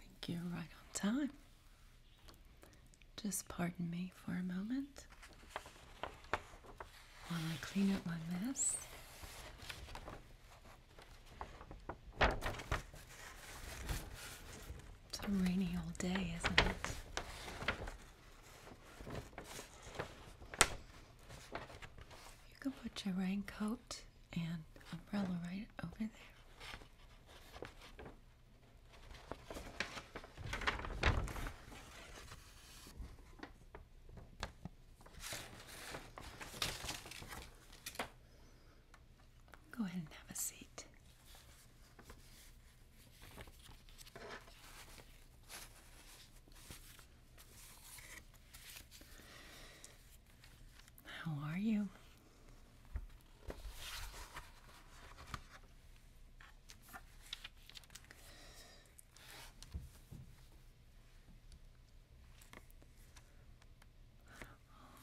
Thank you right on time. Just pardon me for a moment while I clean up my mess. It's a rainy old day, isn't it? You can put your raincoat and umbrella right over there. Go ahead and have a seat. How are you?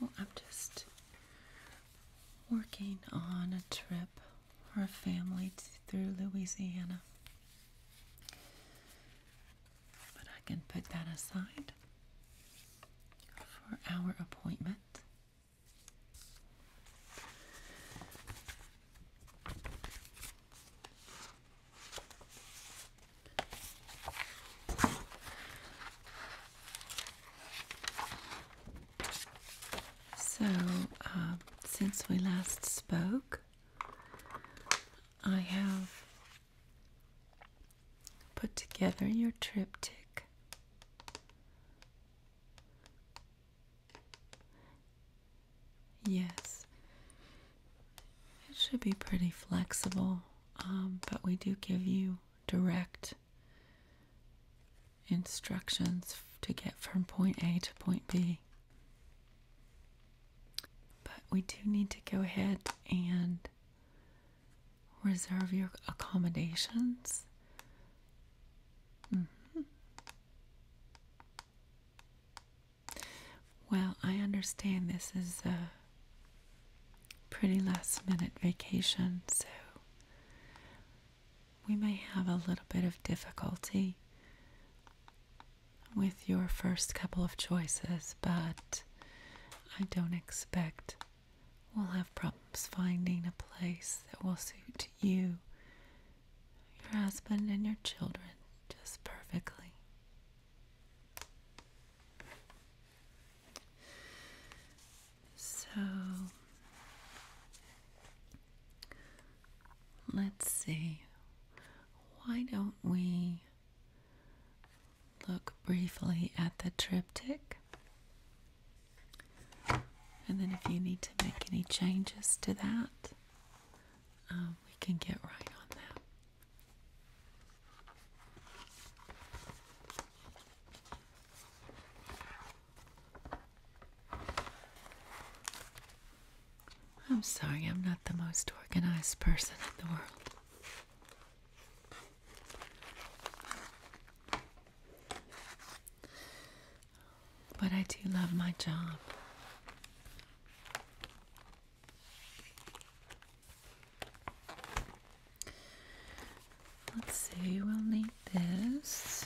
Oh, I'm just working on a trip for a family through Louisiana. But I can put that aside for our appointment. So, uh, since we last spoke, I have put together your triptych. Yes, it should be pretty flexible, um, but we do give you direct instructions to get from point A to point B. But we do need to go ahead and reserve your accommodations. Mm-hmm. Well, I understand this is a pretty last minute vacation, so we may have a little bit of difficulty with your first couple of choices, but I don't expect we'll have problems finding a place that will suit you, your husband, and your children just perfectly. So Let's see. Why don't we look briefly at the triptych? And then, if you need to make any changes to that, um, we can get right on that. I'm sorry, I'm not the most organized person in the world. But I do love my job. Let's see, we'll need this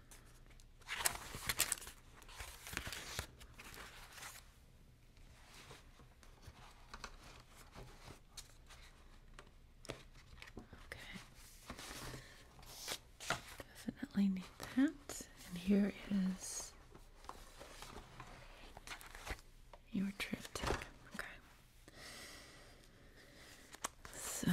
Okay. Definitely need that. And here is your triptych. Okay. So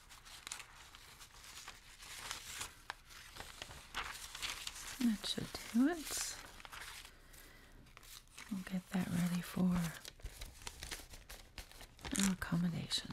That should do it. We'll get that ready for our accommodations.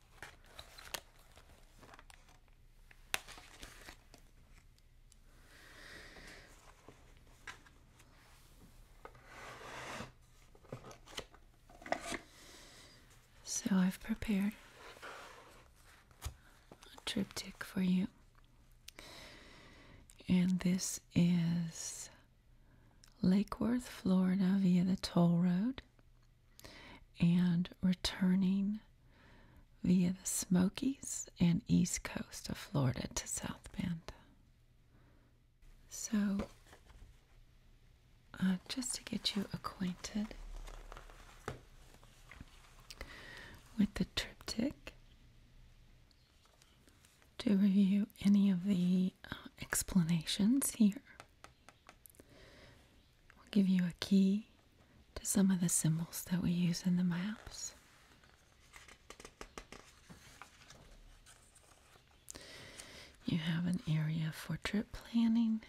so I've prepared a triptych for you. And this is Lake Worth, Florida via the toll road and returning via the Smokies and east coast of Florida to South Bend. So, uh, just to get you acquainted with the triptych, to review any of the uh, explanations here. We'll give you a key to some of the symbols that we use in the maps. You have an area for trip planning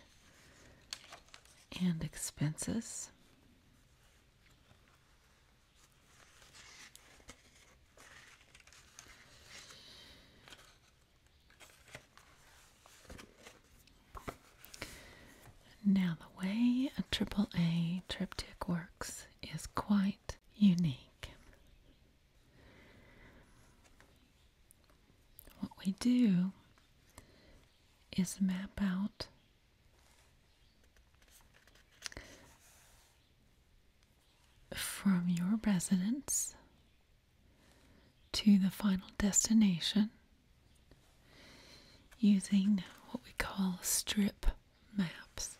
and expenses. Now, the way a triple A triptych works is quite unique. What we do is map out from your residence to the final destination using what we call strip maps.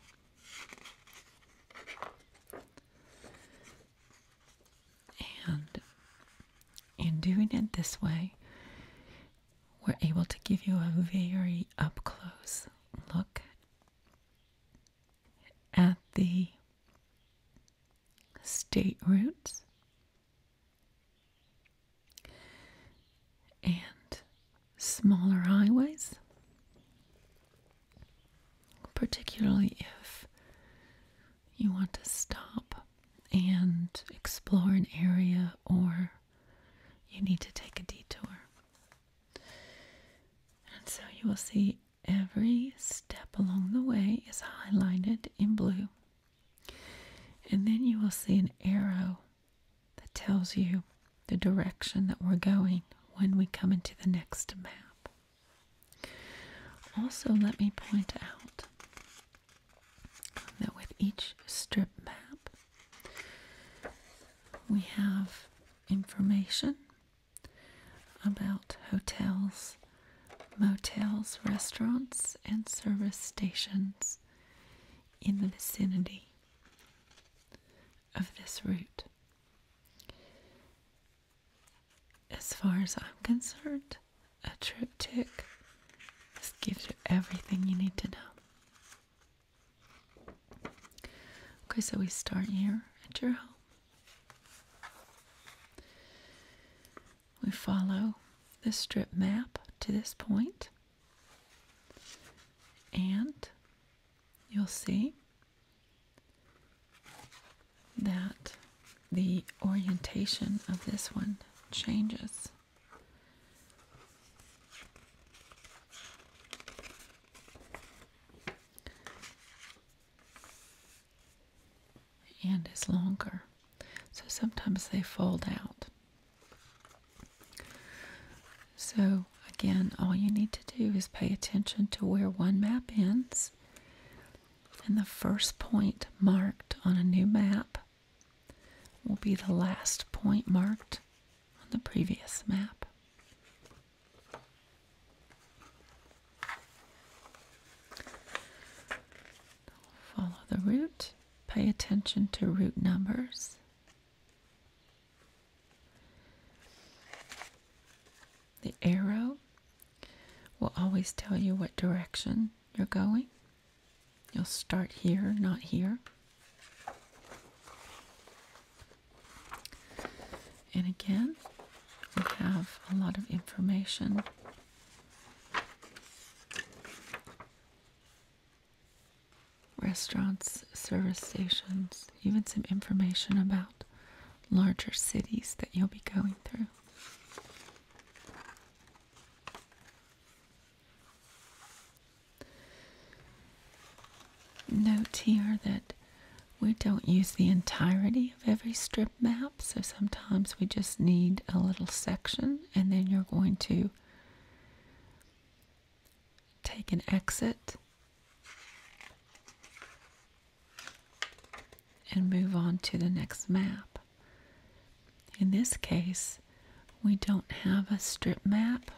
And in doing it this way, we're able to give you a very up close look at the state routes, and smaller highways, particularly if you want to stop and explore an area or you need to take a detour. And so you will see every step along the way is highlighted in blue. And then you will see an arrow that tells you the direction that we're going when we come into the next map. Also, let me point out that with each strip map, we have information about hotels motels, restaurants, and service stations in the vicinity of this route. As far as I'm concerned, a triptych just gives you everything you need to know. Okay, so we start here at your home. We follow the strip map to this point, and you'll see that the orientation of this one changes and is longer. So sometimes they fold out. So again, all you need to do is pay attention to where one map ends and the first point marked on a new map will be the last point marked on the previous map. Follow the route. Pay attention to route numbers. The arrow will always tell you what direction you're going. You'll start here, not here. And again, we have a lot of information Restaurants, service stations, even some information about larger cities that you'll be going through. Note here that we don't use the entirety every strip map. So sometimes we just need a little section and then you're going to take an exit and move on to the next map. In this case, we don't have a strip map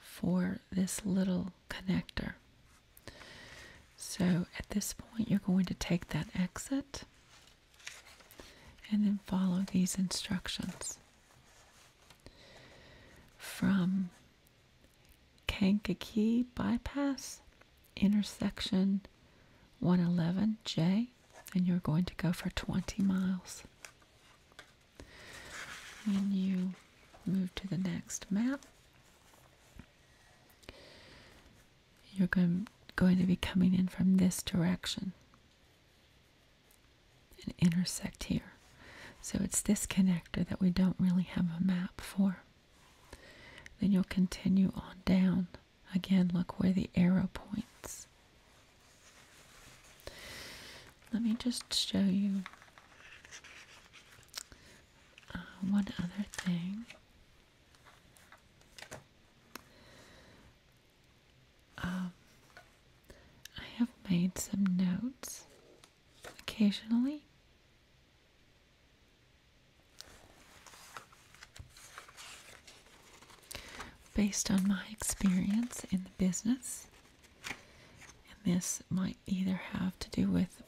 for this little connector. So at this point, you're going to take that exit and then follow these instructions. From Kankakee Bypass, intersection 111J, and you're going to go for 20 miles. When you move to the next map, you're going, to be coming in from this direction and intersect here. So it's this connector that we don't really have a map for. Then you'll continue on down. Again, look where the arrow points. Let me just show you uh, one other thing. Um, I have made some notes occasionally. Based on my experience in the business, and this might either have to do with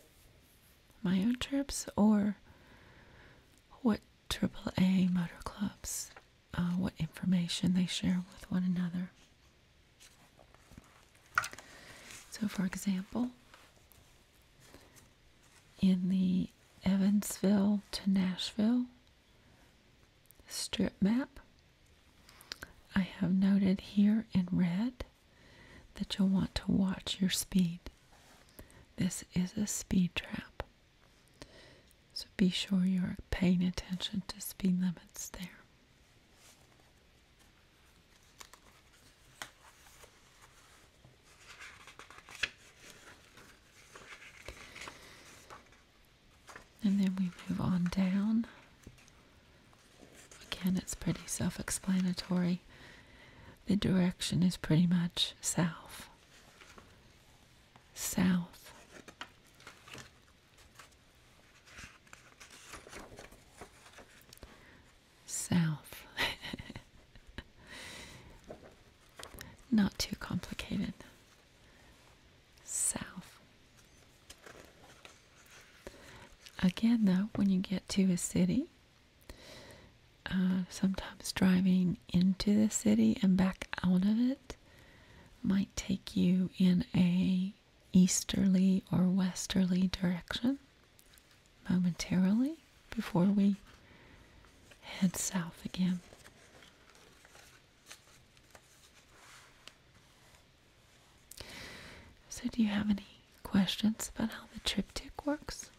my own trips or what AAA motor clubs, uh, what information they share with one another. So, for example, in the Evansville to Nashville strip map, I have noted here in red that you'll want to watch your speed. This is a speed trap. So be sure you're paying attention to speed limits there. And then we move on down. Again, it's pretty self explanatory the direction is pretty much south. South. South. Not too complicated. South. Again, though, when you get to a city, uh, sometimes driving into the city and back out of it might take you in a easterly or westerly direction momentarily before we head south again. So, do you have any questions about how the triptych works?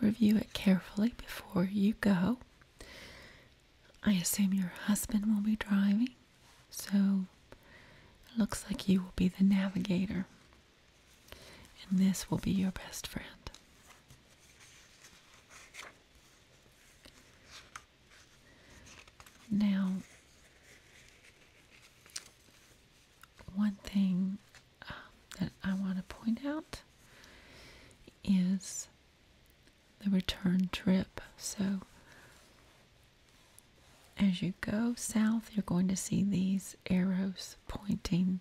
Review it carefully before you go. I assume your husband will be driving, so it looks like you will be the navigator, and this will be your best friend. Now, one thing um, that I want to point out is the return trip. So, as you go south, you're going to see these arrows pointing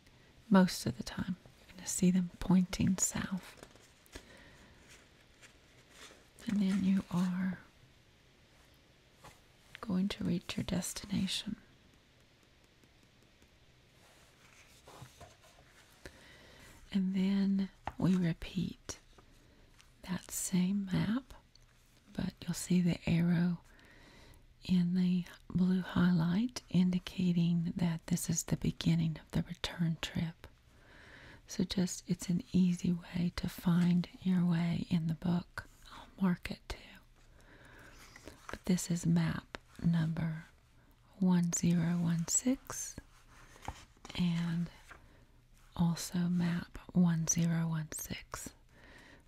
most of the time. You're going to see them pointing south. And then you are going to reach your destination. And then we repeat that same map, but you'll see the arrow in the blue highlight indicating that this is the beginning of the return trip. So just it's an easy way to find your way in the book. I'll mark it too. But this is map number 1016 and also map 1016.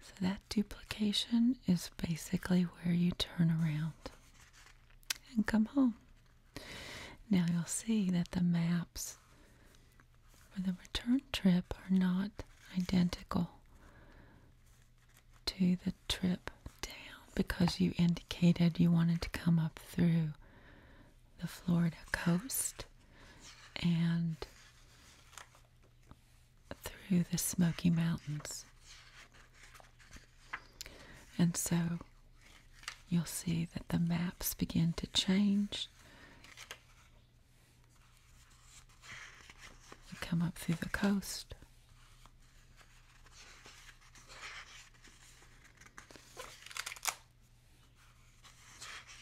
So that duplication is basically where you turn around and come home. Now you'll see that the maps for the return trip are not identical to the trip down because you indicated you wanted to come up through the Florida coast and through the Smoky Mountains. And so you'll see that the maps begin to change. You come up through the coast.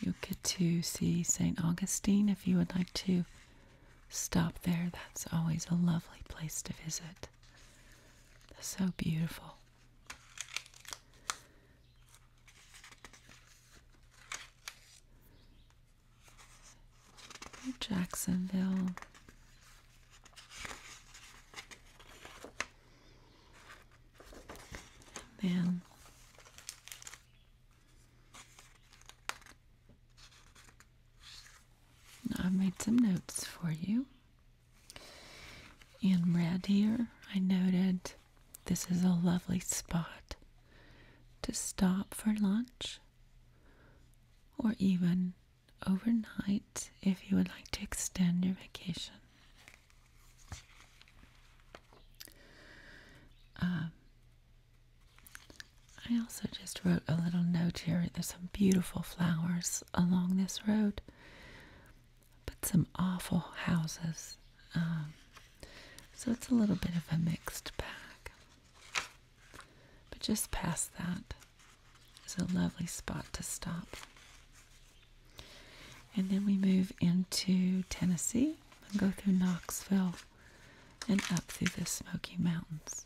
You'll get to see St. Augustine if you would like to stop there. That's always a lovely place to visit. so beautiful. Jacksonville. then I've made some notes for you. In red here, I noted this is a lovely spot to stop for lunch or even overnight if you would like to extend your vacation. Um, I also just wrote a little note here. There's some beautiful flowers along this road but some awful houses. Um, so it's a little bit of a mixed bag. But just past that is a lovely spot to stop. And then we move into Tennessee and go through Knoxville and up through the Smoky Mountains.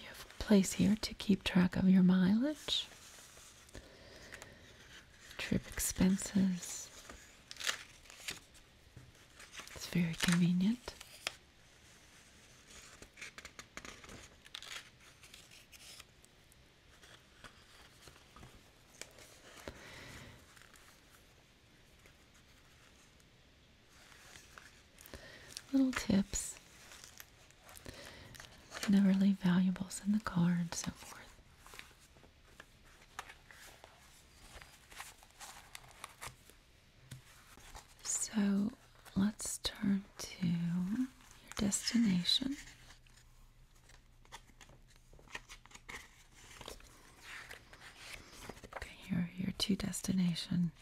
You have a place here to keep track of your mileage, trip expenses. It's very convenient. Little tips. Never leave valuables in the car and so forth. So let's turn to your destination. Okay, here are your two destination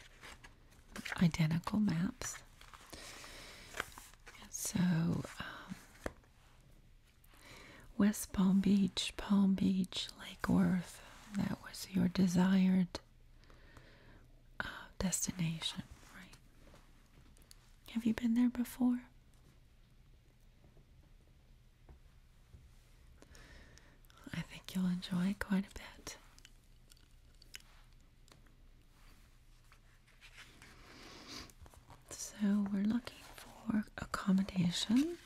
identical maps. So, um, West Palm Beach, Palm Beach, Lake Worth, that was your desired uh, destination, right? Have you been there before? I think you'll enjoy it quite a bit. So, we're looking for accommodation.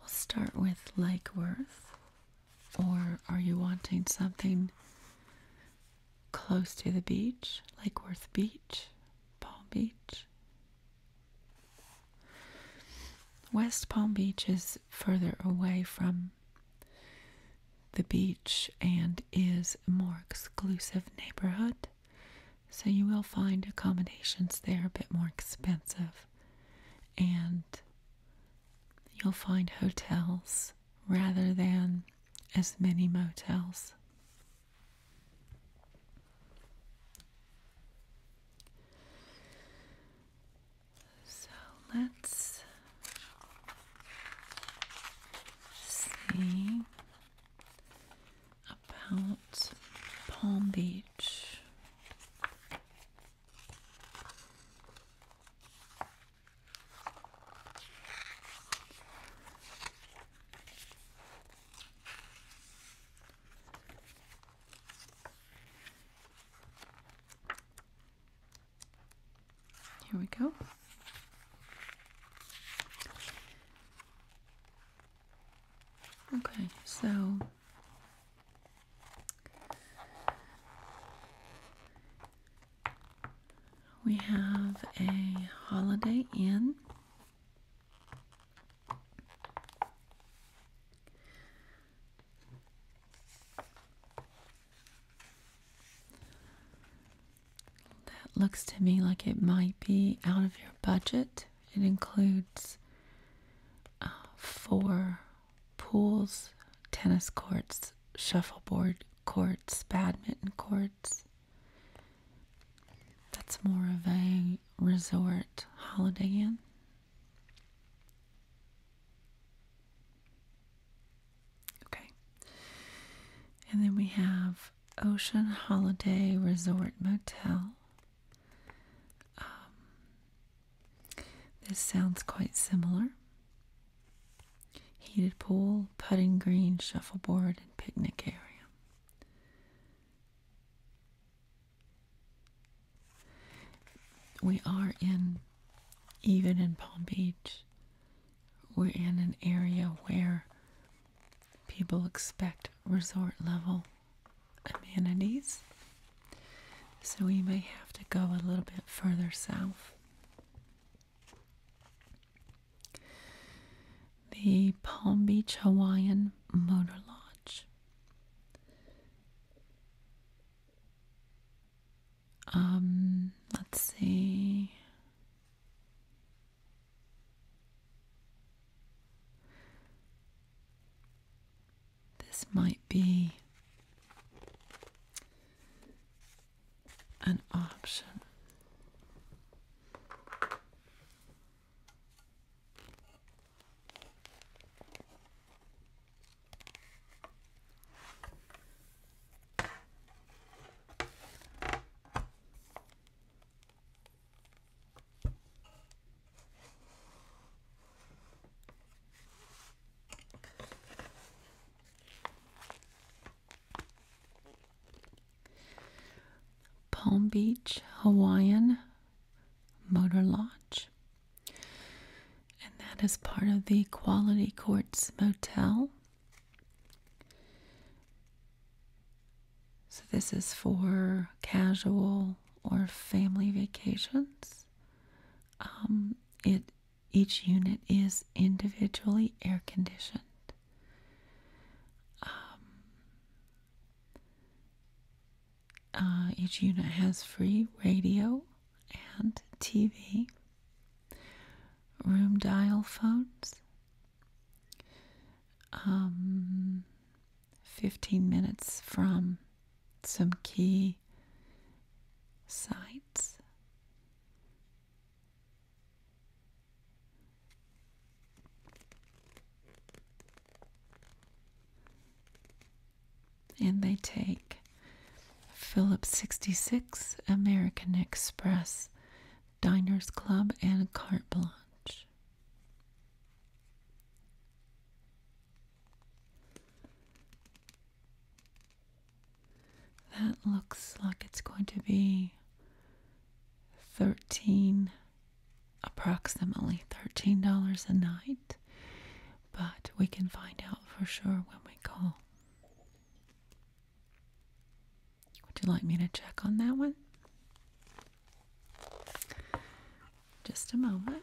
We'll start with Lake Worth, or are you wanting something close to the beach, Lake Worth Beach, Palm Beach. West Palm Beach is further away from the beach and is a more exclusive neighborhood, so you will find accommodations there a bit more expensive, and you'll find hotels rather than as many motels. So let's see about Palm Beach. Here we go. Okay, so we have a Holiday Inn. That looks to me like it might be out of your budget. It includes uh, four pools, tennis courts, shuffleboard courts, badminton courts, that's more of a resort holiday inn. Okay. And then we have Ocean Holiday Resort Motel. Um, this sounds quite similar heated pool, putting green, shuffleboard, and picnic area. We are in, even in Palm Beach, we're in an area where people expect resort level amenities. So we may have to go a little bit further south. The Palm Beach Hawaiian Motor Lodge. Um, let's see. This might be an option. Palm Beach Hawaiian Motor Lodge. And that is part of the Quality Courts Motel. So, this is for casual or family vacations. Um, it each unit is individually air conditioned. Um, uh, each unit has free radio and TV, room dial phones, um, 15 minutes from some key sites and they take Phillips 66, American Express, Diners Club, and Carte Blanche. That looks like it's going to be 13 approximately $13 a night, but we can find out for sure when we call. Would you like me to check on that one? Just a moment.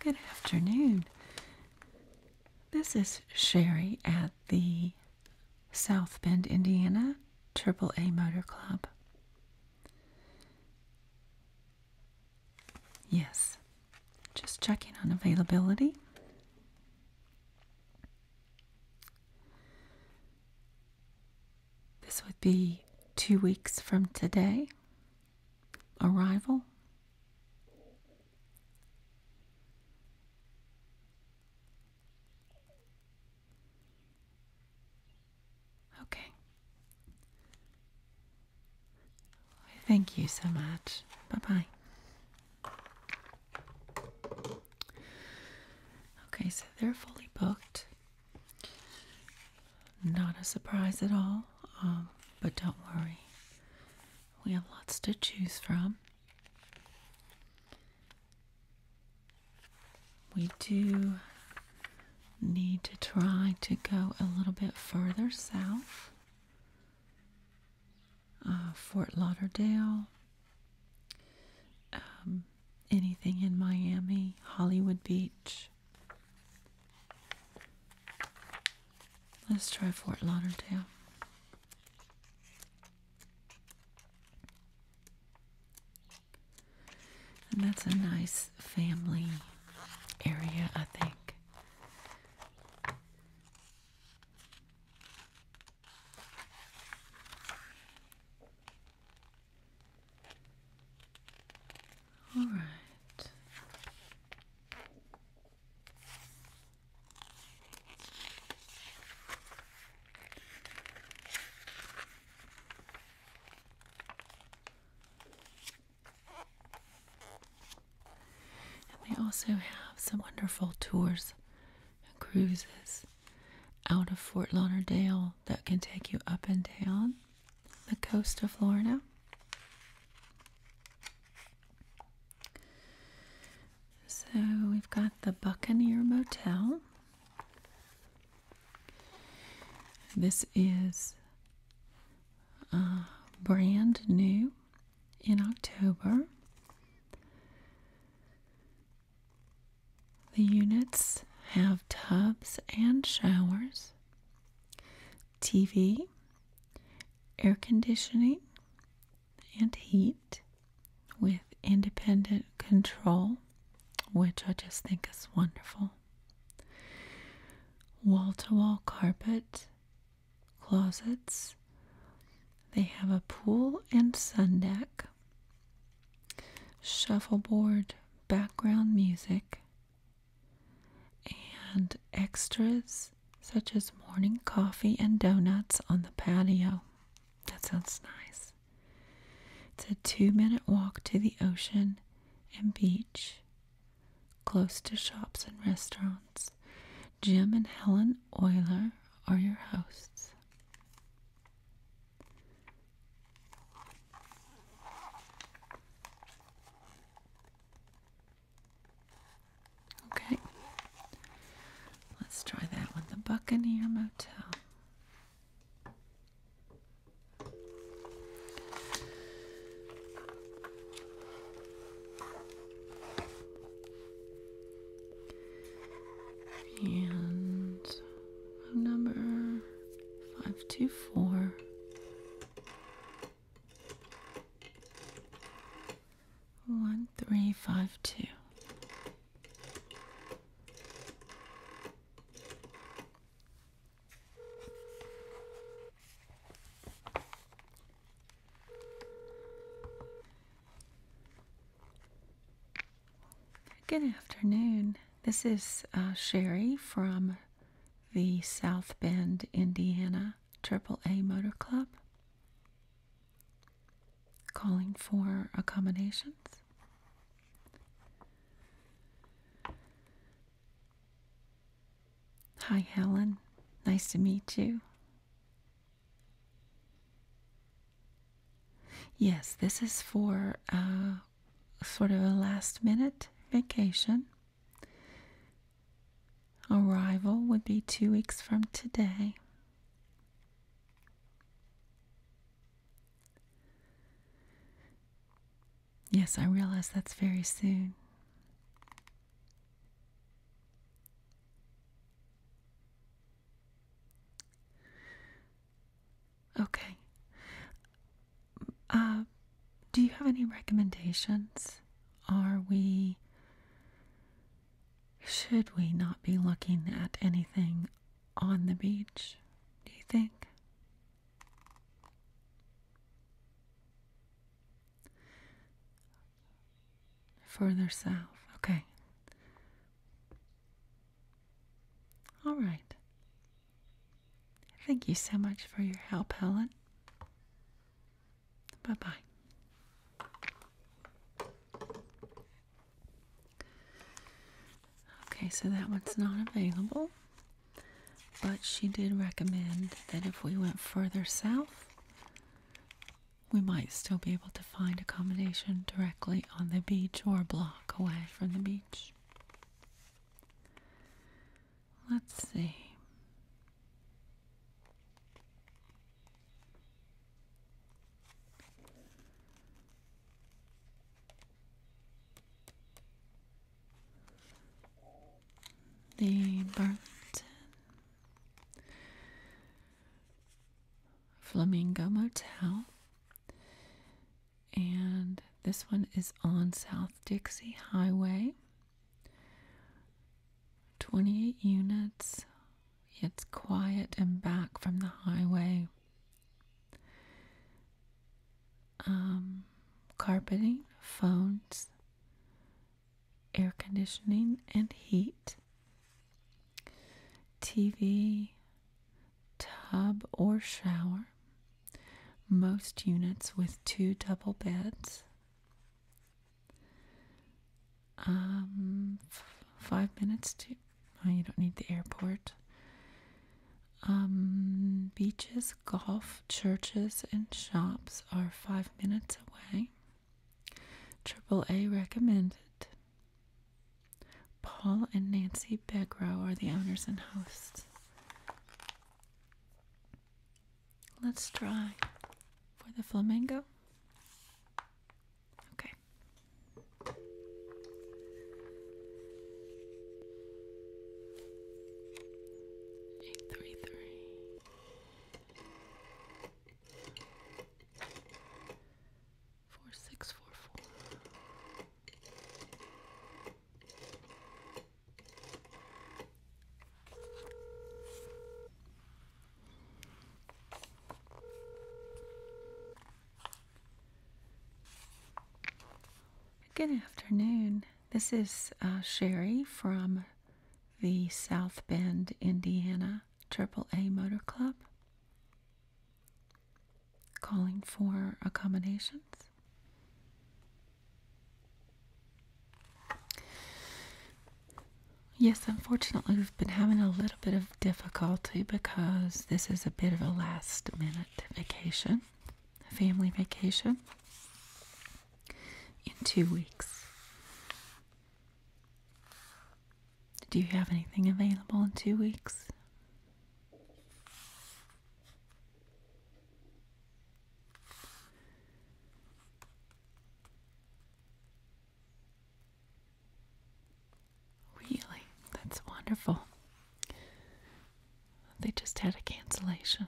Good afternoon. This is Sherry at the South Bend, Indiana AAA Motor Club. Yes, just checking on availability. This would be two weeks from today. Arrival? Okay. Thank you so much. Bye bye. Okay, so they're fully booked. Not a surprise at all, um, but don't worry. We have lots to choose from. We do need to try to go a little bit further south. Uh, Fort Lauderdale, um, anything in Miami, Hollywood Beach, Let's try Fort Lauderdale. And that's a nice family area, I think. All right. they also have some wonderful tours and cruises out of Fort Lauderdale that can take you up and down the coast of Florida. So we've got the Buccaneer Motel. This is uh, brand new in October. The units have tubs and showers. TV, air conditioning, and heat with independent control, which I just think is wonderful. Wall to wall carpet, closets. They have a pool and sun deck, shuffleboard, background music, and extras such as morning coffee and donuts on the patio. That sounds nice. It's a two minute walk to the ocean and beach, close to shops and restaurants. Jim and Helen Euler are your hosts. Okay. Let's try that with The Buccaneer Motel. And number five two four one three five two Good afternoon. This is uh, Sherry from the South Bend, Indiana AAA Motor Club calling for accommodations. Hi, Helen. Nice to meet you. Yes, this is for uh, sort of a last minute vacation. Arrival would be two weeks from today. Yes, I realize that's very soon. Okay. Uh, do you have any recommendations? Are we. Should we not be looking at anything on the beach, do you think? Further south, okay. All right. Thank you so much for your help, Helen. Bye bye. Okay, so that one's not available, but she did recommend that if we went further south, we might still be able to find accommodation directly on the beach or a block away from the beach. Let's see. The Burlington Flamingo Motel and this one is on South Dixie Highway. 28 units. It's quiet and back from the highway. Um, carpeting, phones, air conditioning, and heat. TV, tub or shower, most units with two double beds. Um, five minutes to. Oh, you don't need the airport. Um, beaches, golf, churches, and shops are five minutes away. AAA recommended. Paul and Nancy Begro are the owners and hosts. Let's try for the flamingo. Okay. Eight three three. Good afternoon. This is uh, Sherry from the South Bend, Indiana AAA Motor Club calling for accommodations. Yes, unfortunately, we've been having a little bit of difficulty because this is a bit of a last minute vacation, a family vacation in two weeks. Do you have anything available in two weeks? Really? That's wonderful. They just had a cancellation.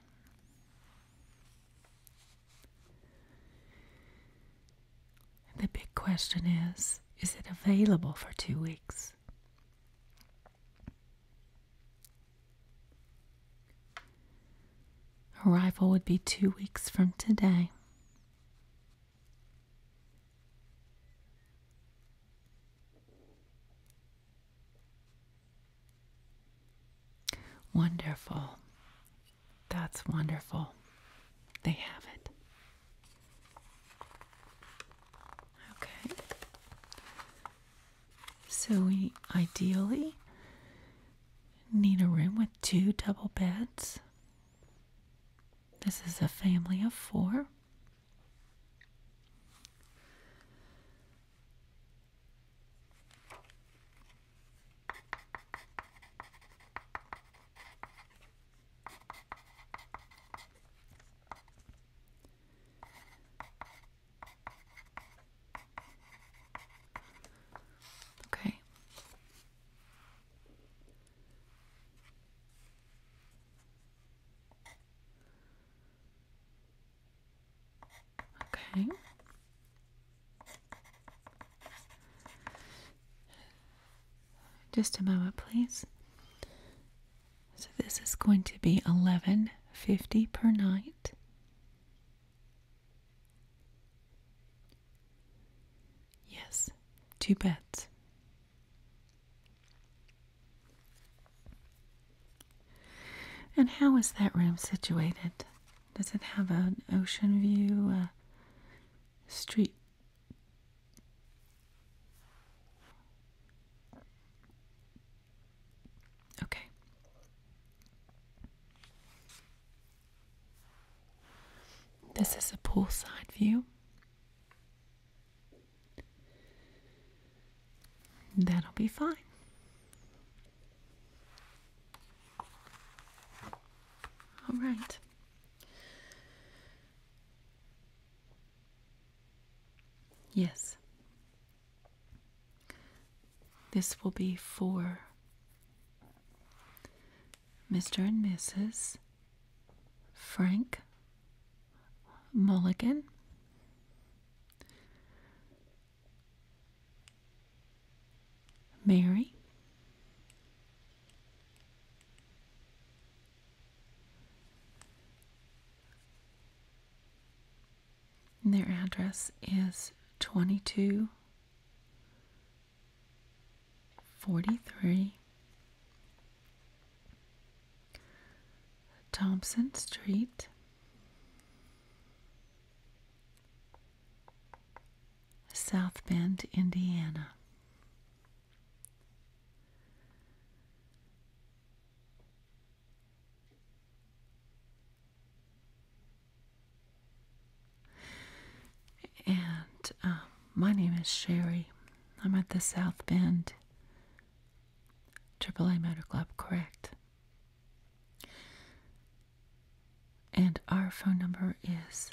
the big question is is it available for two weeks? Arrival would be two weeks from today. Wonderful. That's wonderful. They have it. Okay. So we ideally need a room with two double beds. This is a family of four. Okay. Okay. Just a moment, please. So this is going to be 11.50 per night. Yes, two beds. And how is that room situated? Does it have an ocean view, a street? Okay. This is a poolside view. That'll be fine. All right. Yes, this will be for Mr. and Mrs. Frank Mulligan. Mary, and their address is 2243 Thompson Street. South Bend, Indiana. And um, my name is Sherry. I'm at the South Bend AAA Motor Club, correct? And our phone number is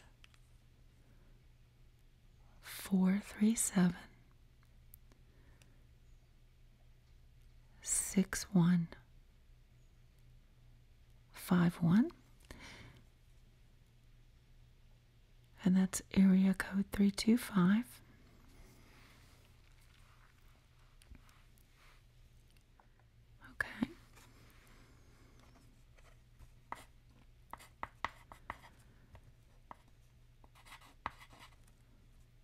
437 Six one. Five one. and that's area code three two five okay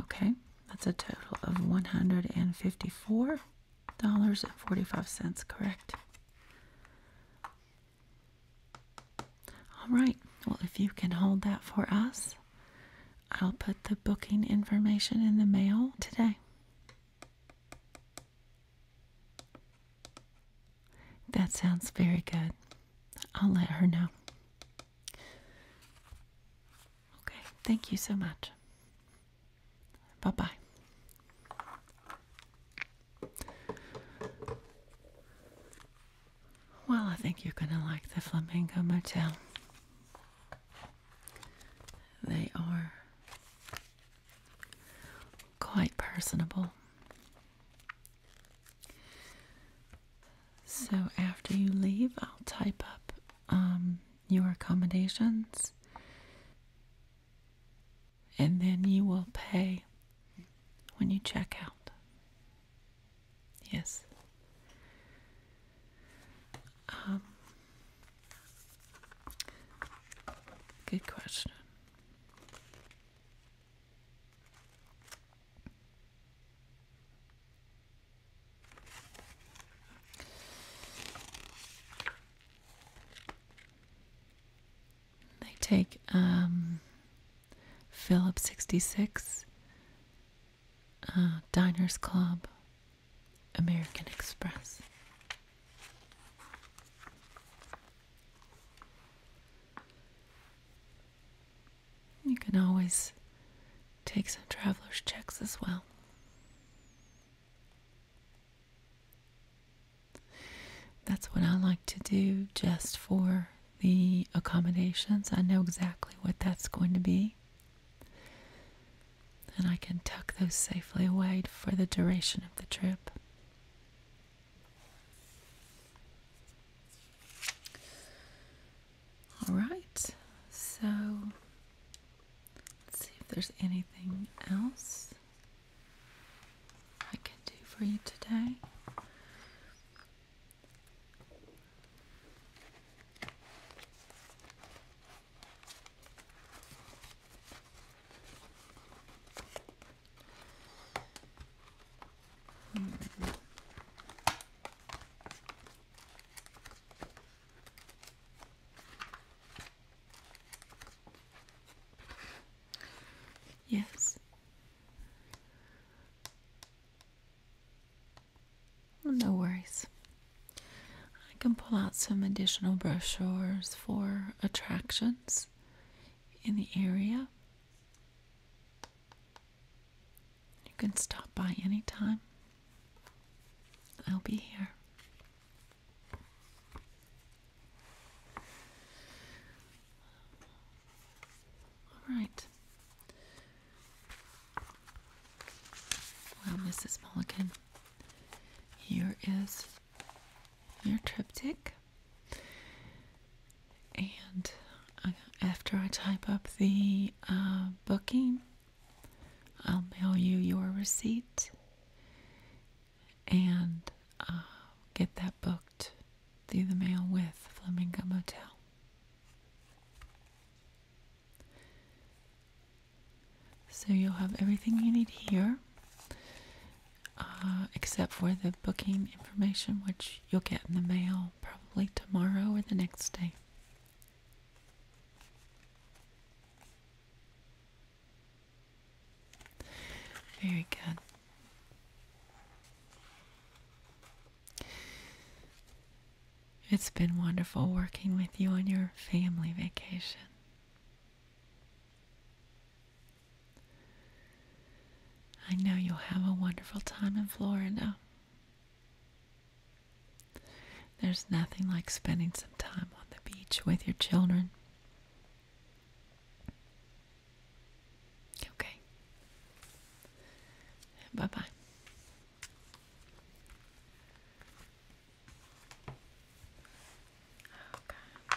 Okay, that's a total of $154.45, correct? All right, well, if you can hold that for us, I'll put the booking information in the mail today. That sounds very good. I'll let her know. Okay, thank you so much. Bye bye. Well, I think you're going to like the Flamingo Motel. They are quite personable. So after you leave, I'll type up um, your accommodations and then you will pay when you check out. Yes. Um, good question. They take um, Philip 66, uh, Diners Club, American Express. You can always take some traveler's checks as well. That's what I like to do just for the accommodations. I know exactly what that's going to be. And I can tuck those safely away for the duration of the trip. All right, so let's see if there's anything else I can do for you today. Yes. no worries. I can pull out some additional brochures for attractions in the area. You can stop by anytime. I'll be here. All right. Well, Mrs. Mulligan, here is your triptych and uh, after I type up the uh, booking, I'll mail you your receipt and uh, get that booked through the mail with Flamingo Motel. So you'll have everything you need here, except for the booking information, which you'll get in the mail probably tomorrow or the next day. Very good. It's been wonderful working with you on your family vacation. I know you'll have a wonderful time in Florida. There's nothing like spending some time on the beach with your children. Okay. Bye bye. Okay.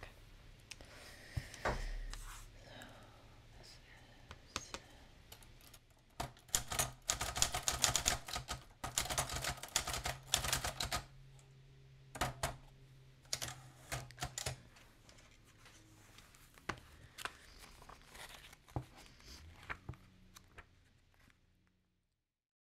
Okay. So this is